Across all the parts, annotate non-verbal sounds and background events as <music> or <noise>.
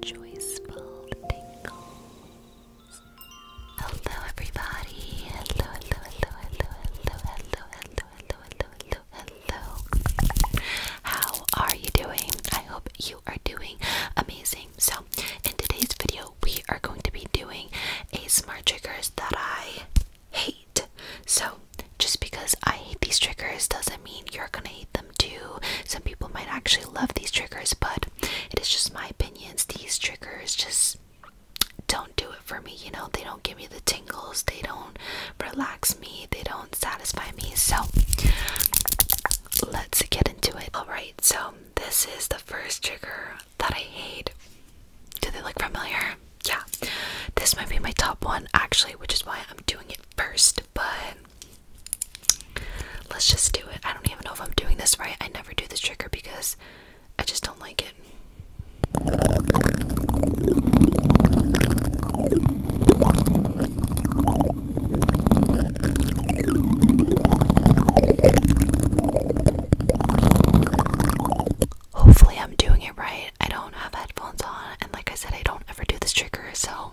Joyful tingles. Hello, everybody. Hello, hello, hello, hello, hello, hello, hello, hello, hello, hello. How are you doing? I hope you are doing amazing. So, in today's video, we are going to be doing a smart triggers that I hate. So, just because I hate these triggers doesn't does mean you're gonna hate them too. Some people might actually love these triggers, but it is just my opinions. These triggers just don't do it for me, you know, they don't give me the tingles, they don't relax me, they don't satisfy me. So let's get into it. Alright, so this is the first trigger that I hate. Do they look familiar? Yeah. This might be my top one actually, which is why I'm doing it first, but Let's just do it. I don't even know if I'm doing this right. I never do this trigger because I just don't like it. Hopefully, I'm doing it right. I don't have headphones on, and like I said, I don't ever do this trigger, so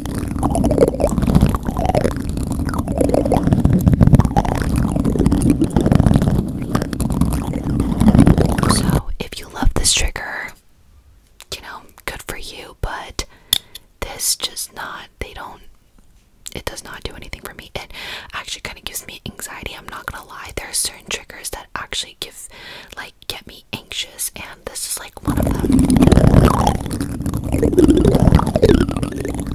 So, if you love this trigger, you know, good for you, but this just not, they don't, it does not do anything for me. It actually kind of gives me anxiety. I'm not gonna lie, there are certain triggers that actually give, like, get me anxious, and this is like one of them. I feel like it's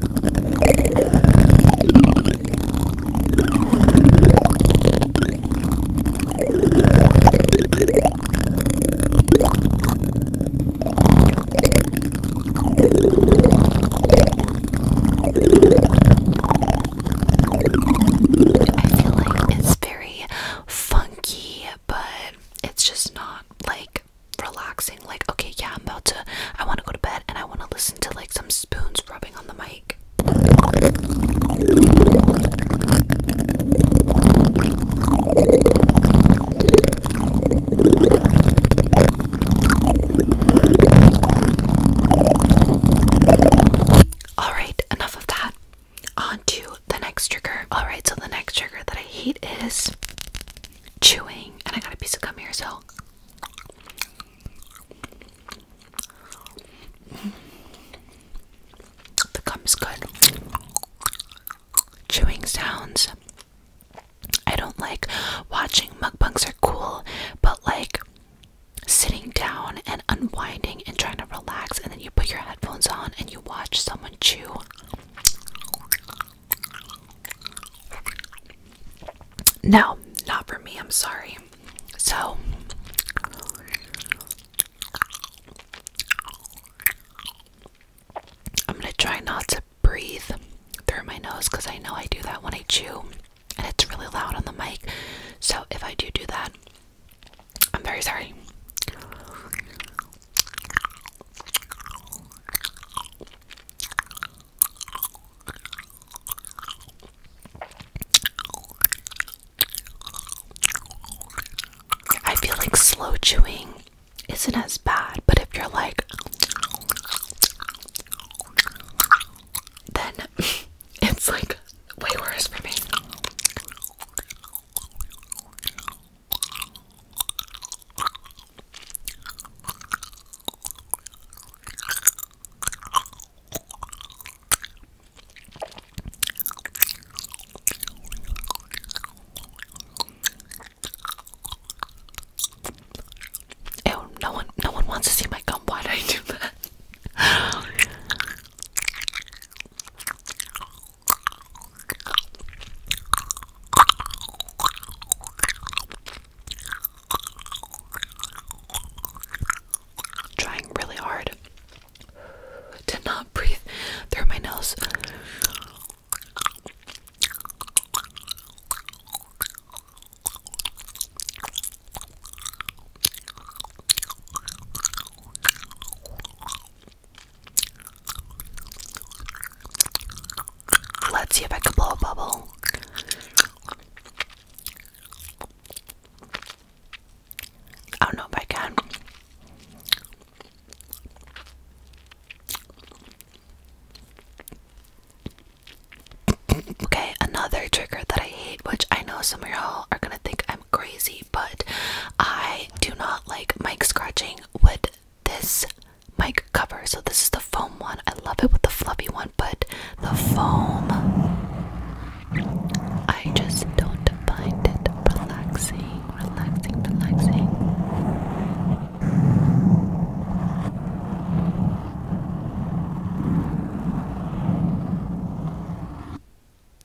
very funky, but it's just not like relaxing like okay yeah i'm about to i want to go to bed and i want to listen to like some spoons rubbing on the mic all right enough of that on to the next trigger all right so the next trigger that i hate is chewing, and I got a piece of gum here, so. The gum good. Chewing sounds. I don't like watching mukbangs are cool, but like sitting down and unwinding and trying to relax, and then you put your headphones on and you watch someone chew. No, not for me. I'm sorry. So, I'm going to try not to breathe through my nose because I know I do that when I chew and it's really loud on the mic. So, if I do do that, I'm very sorry. I feel like slow chewing isn't as bad, but if you're like, then <laughs> it's like way worse for me. Ew, no one no one wants to see my gum. Why did I do that? Trying really hard to not breathe through my nose. Let's see if I can blow a bubble. I don't know if I can. Okay, another trigger that I hate, which I know some of y'all are gonna think I'm crazy, but I do not like mic scratching with this mic cover. So this is the foam one. I love it with the fluffy one, but the foam I just don't find it relaxing, relaxing, relaxing.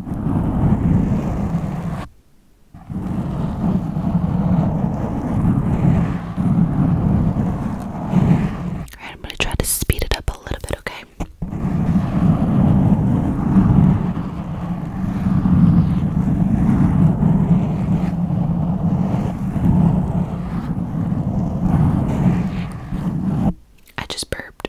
Alright, I'm going to try to speed it up a little bit, okay? I just burped.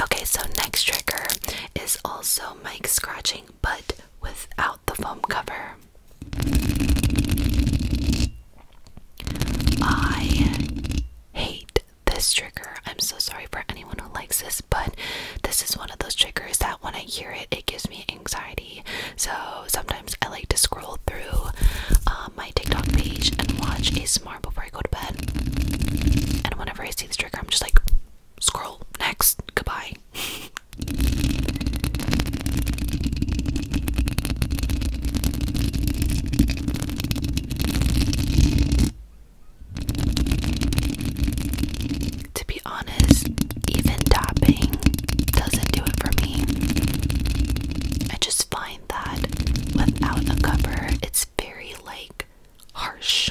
Okay, so next trigger is also mic scratching but without the foam cover. I hate this trigger. I'm so sorry for anyone who likes this, but this is one of those triggers that when I hear it, it gives me anxiety. So sometimes I like to scroll through um, my TikTok page and watch a ASMR before I go to bed. And whenever I see this trigger, I'm just like, scroll next, goodbye to be honest, even topping doesn't do it for me. I just find that without a cover, it's very like harsh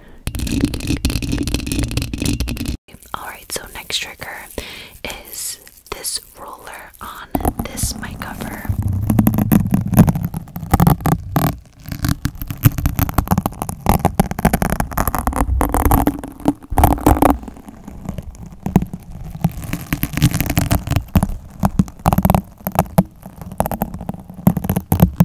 Alright, so next trigger is this roller on this mic cover.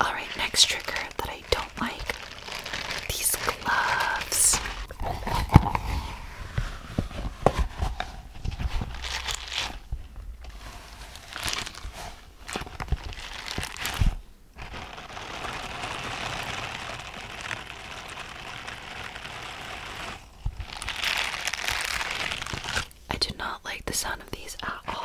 Alright, next trigger that I don't like these gloves. I do not like the sound of these at all.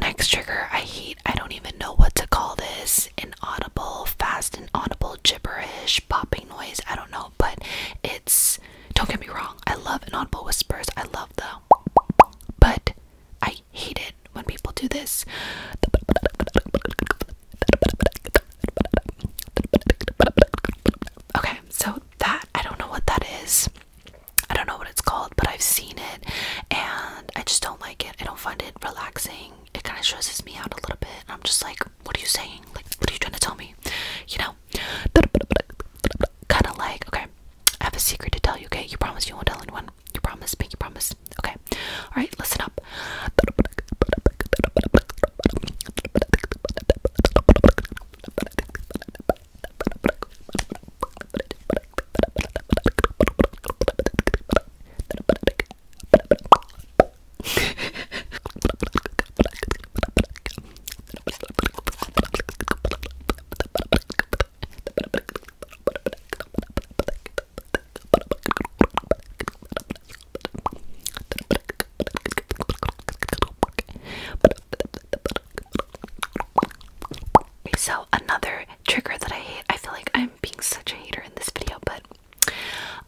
Next trigger, I hate, I don't even know what to call this inaudible, fast and audible gibberish, popping noise. I don't know, but it's don't get me wrong, I love inaudible whispers, I love though. But I hate it when people do this. Okay, so that I don't know what that is. I don't know what it's called, but I've seen it and I just don't like it. I don't find it relaxing. It kind of stresses me out a little bit. I'm just like, what are you saying? Like, what are you trying to tell me? You know? Kind of like, okay, I have a secret to tell you, okay? You promise you won't tell anyone. You promise me, you promise. Okay. Alright, listen up. <laughs> So, another trigger that I hate, I feel like I'm being such a hater in this video, but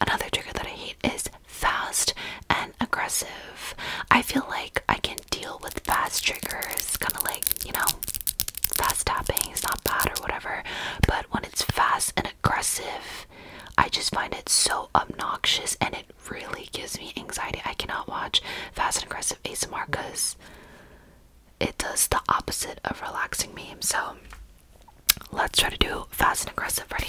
another trigger that I hate is fast and aggressive. I feel like I can deal with fast triggers, kind of like, you know, fast tapping is not bad or whatever, but when it's fast and aggressive, I just find it so obnoxious and it really gives me anxiety. I cannot watch fast and aggressive ASMR because it does the opposite of relaxing me. So let's try to do fast and aggressive. Ready?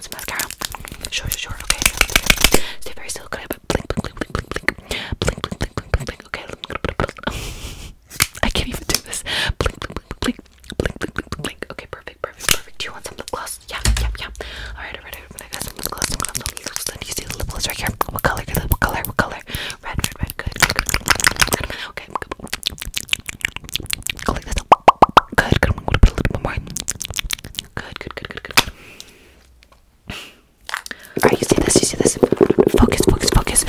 mascara? Sure, sure, Okay. Stay very still. I Okay. I can't even do this. Okay, perfect, perfect, perfect. Do you want some lip gloss? Yeah, yeah, yeah. All right, all right. I'm gonna get lip gloss. I'm gonna lip gloss. Do you see the lip gloss right here? What color? What color? What color? Red, red, red. Okay. this. Good, good. i put a little bit more. Good, good, good, good, good, good. you see this, you see this. Focus, focus, focus.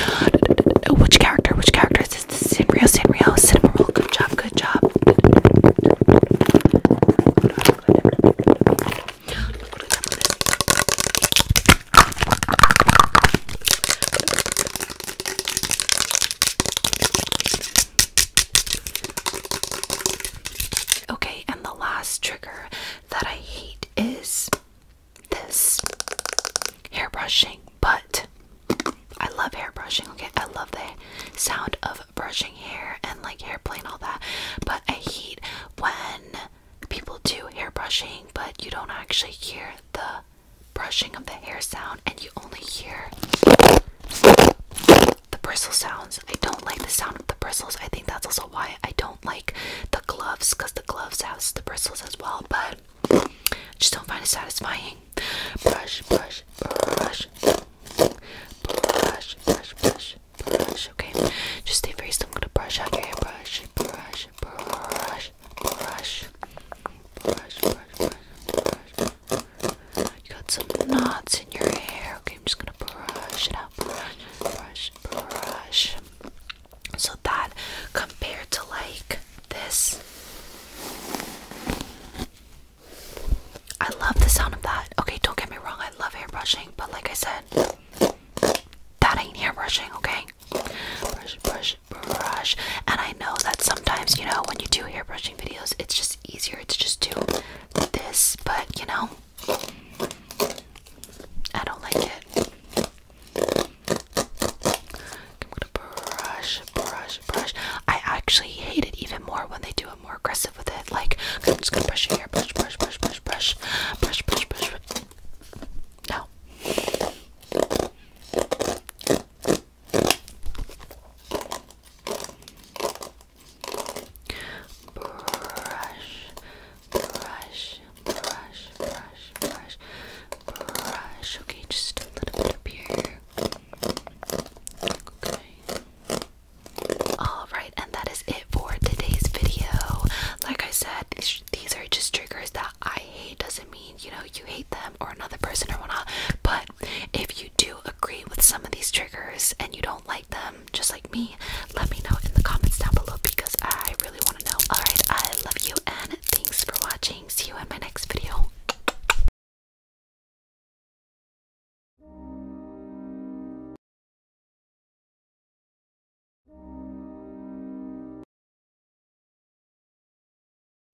Which character? Which character is this? This is Sanrio, Sanrio, Cinnamon Roll. Good job, good job. Okay, and the last trigger that I hate is this hair brushing, but I love hair brushing. Okay, I love the sound of brushing hair and like hair play all that, but I hate when people do hair brushing, but you don't actually hear the brushing of the hair sound and you only hear the bristle sounds. I don't like the sound of the bristles. I think that's also why I don't like the gloves because the gloves have the bristles as well, but I just don't find it satisfying. Brush, brush, brush, brush, brush, brush, brush. Okay, just stay very still. I'm gonna brush out your hair. Brush, brush, brush, brush, brush, brush, brush, brush, brush, brush, you got some knots in your hair. Okay, I'm just gonna brush it out. Brush, brush, brush. So that compared to like this. I love the sound of that. Okay, don't get me wrong, I love hair brushing, but like I said, that ain't hair brushing, okay? Brush, brush, brush. And I know that sometimes, you know, when you do hair brushing, watching videos, it's just easier to just do this, but you know, I don't like it. I'm gonna brush, brush, brush. I actually hate it even more when they do it more aggressive with it. Like, I'm just gonna brush your hair, brush, brush, brush, brush, brush, brush, brush, brush. brush. No. Brush, brush, brush, brush, brush, brush. Okay, just a little bit up here. Okay. Alright, and that is it for today's video. Like I said, these, these are just triggers that I hate. Doesn't mean you know you hate them or another person or whatnot but if you do agree with some of these triggers and you don't like them just like me let me know in the comments down below because i really want to know all right i love you and thanks for watching see you in my next video